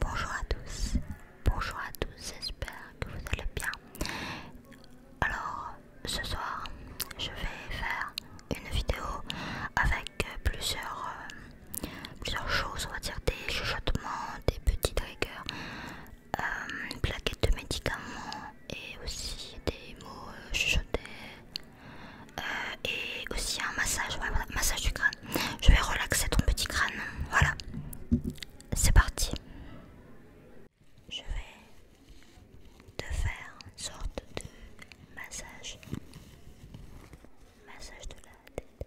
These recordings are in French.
Bonjour à tous, bonjour à tous, j'espère que vous allez bien. Alors, ce soir, je vais faire une vidéo avec plusieurs, euh, plusieurs choses, on va dire des chuchotements, des petits triggers, euh, une plaquette de médicaments, et aussi des mots euh, chuchotés euh, et aussi un massage, massage du crâne. Je vais relaxer ton petit crâne. Voilà, c'est parti. Je vais te faire une sorte de massage, massage de la tête.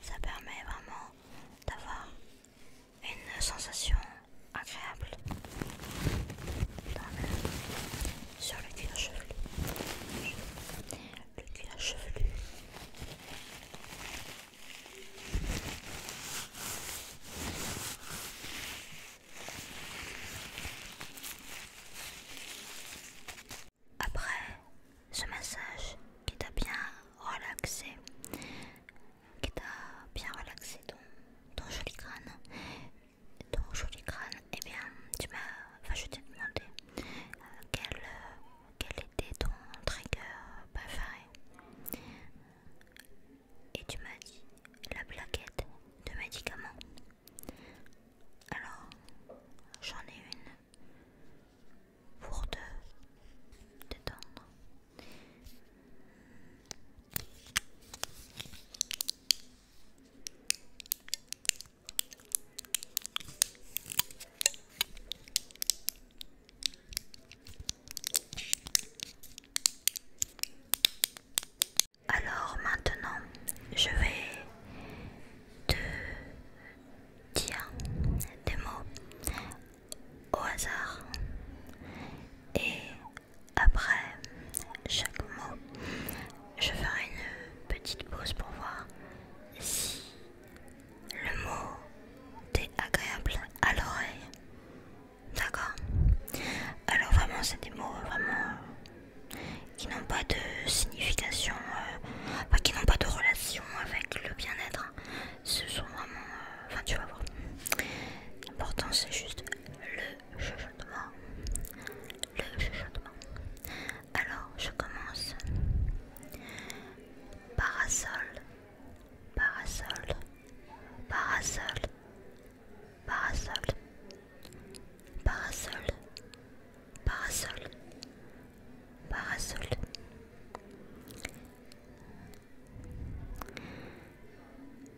ça permet vraiment d'avoir une sensation agréable sur le cuir chevelu. Le cuir chevelu. Après ce massage qui t'a bien relaxé, qui t'a bien relaxé ton, joli crâne, ton joli crâne, et eh bien tu m'as, enfin je t'ai demandé euh, quel, euh, quel était ton trigger préféré. Et tu m'as dit la plaquette de médicaments. Alors, j'en ai une pour deux, détendre. Alors maintenant, je vais de dire des mots au hasard et après chaque mot je ferai une petite pause pour voir si le mot est agréable à l'oreille. D'accord Alors vraiment c'est des mots vraiment qui n'ont pas de signification, euh, qui n'ont pas de relation avec le bien-être. Ce sont vraiment. Euh, enfin, tu vas voir. L'important, c'est juste le chuchotement. Le chuchotement. Alors, je commence. Parasol, parasol, parasol, parasol, Parasol, parasol, parasol.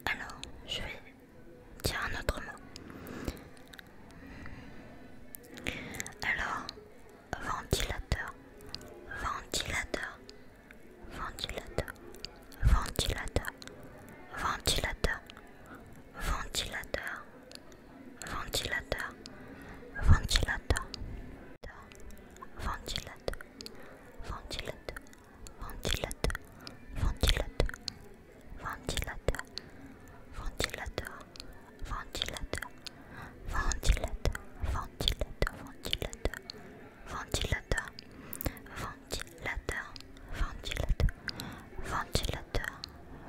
Alors, je vais dire un autre mot. Alors, ventilateur, ventilateur, ventilateur, ventilateur, ventilateur ventilateur, ventilateur, ventilateur, ventilateur, ventilateur, ventilateur, ventilateur, ventilateur, ventilateur, ventilateur, ventilateur, ventilateur, ventilateur, ventilateur, ventilateur, ventilateur, ventilateur,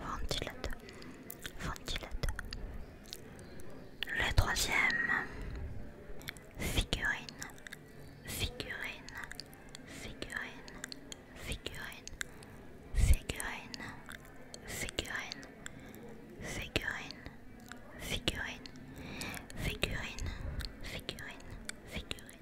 ventilateur, ventilateur. Le troisième, figurine, figurine, figurine, figurine, figurine, figurine, figurine, figurine, figurine, figurine, figurine.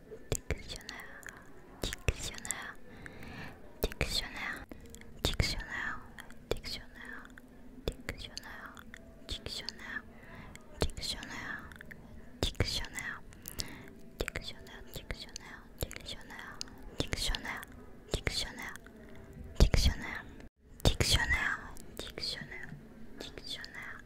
dictionnaire, dictionnaire, dictionnaire, dictionnaire, dictionnaire, dictionnaire, dictionnaire, dictionnaire, dictionnaire, dictionnaire, dictionnaire, dictionnaire, dictionnaire, dictionnaire, dictionnaire, dictionnaire, dictionnaire, dictionnaire,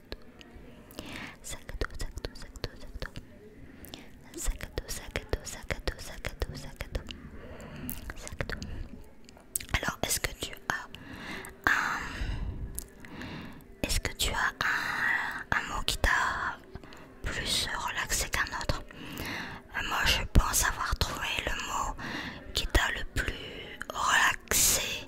Sakato, sakato, sakato, sakato. Sakato, sakato, Alors, est-ce que tu as un... Est-ce que tu as un, un mot qui t'a plus relaxé qu'un autre euh, Moi, je pense avoir trouvé le mot qui t'a le plus relaxé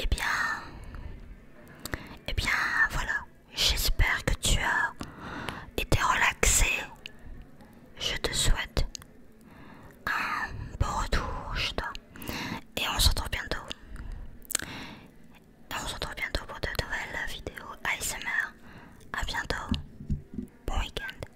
et eh bien, et eh bien, voilà. J'espère que tu as été relaxé. Je te souhaite un bon retour chez toi. Et on se retrouve bientôt. on se retrouve bientôt pour de nouvelles vidéos ASMR. à bientôt. Bon week-end.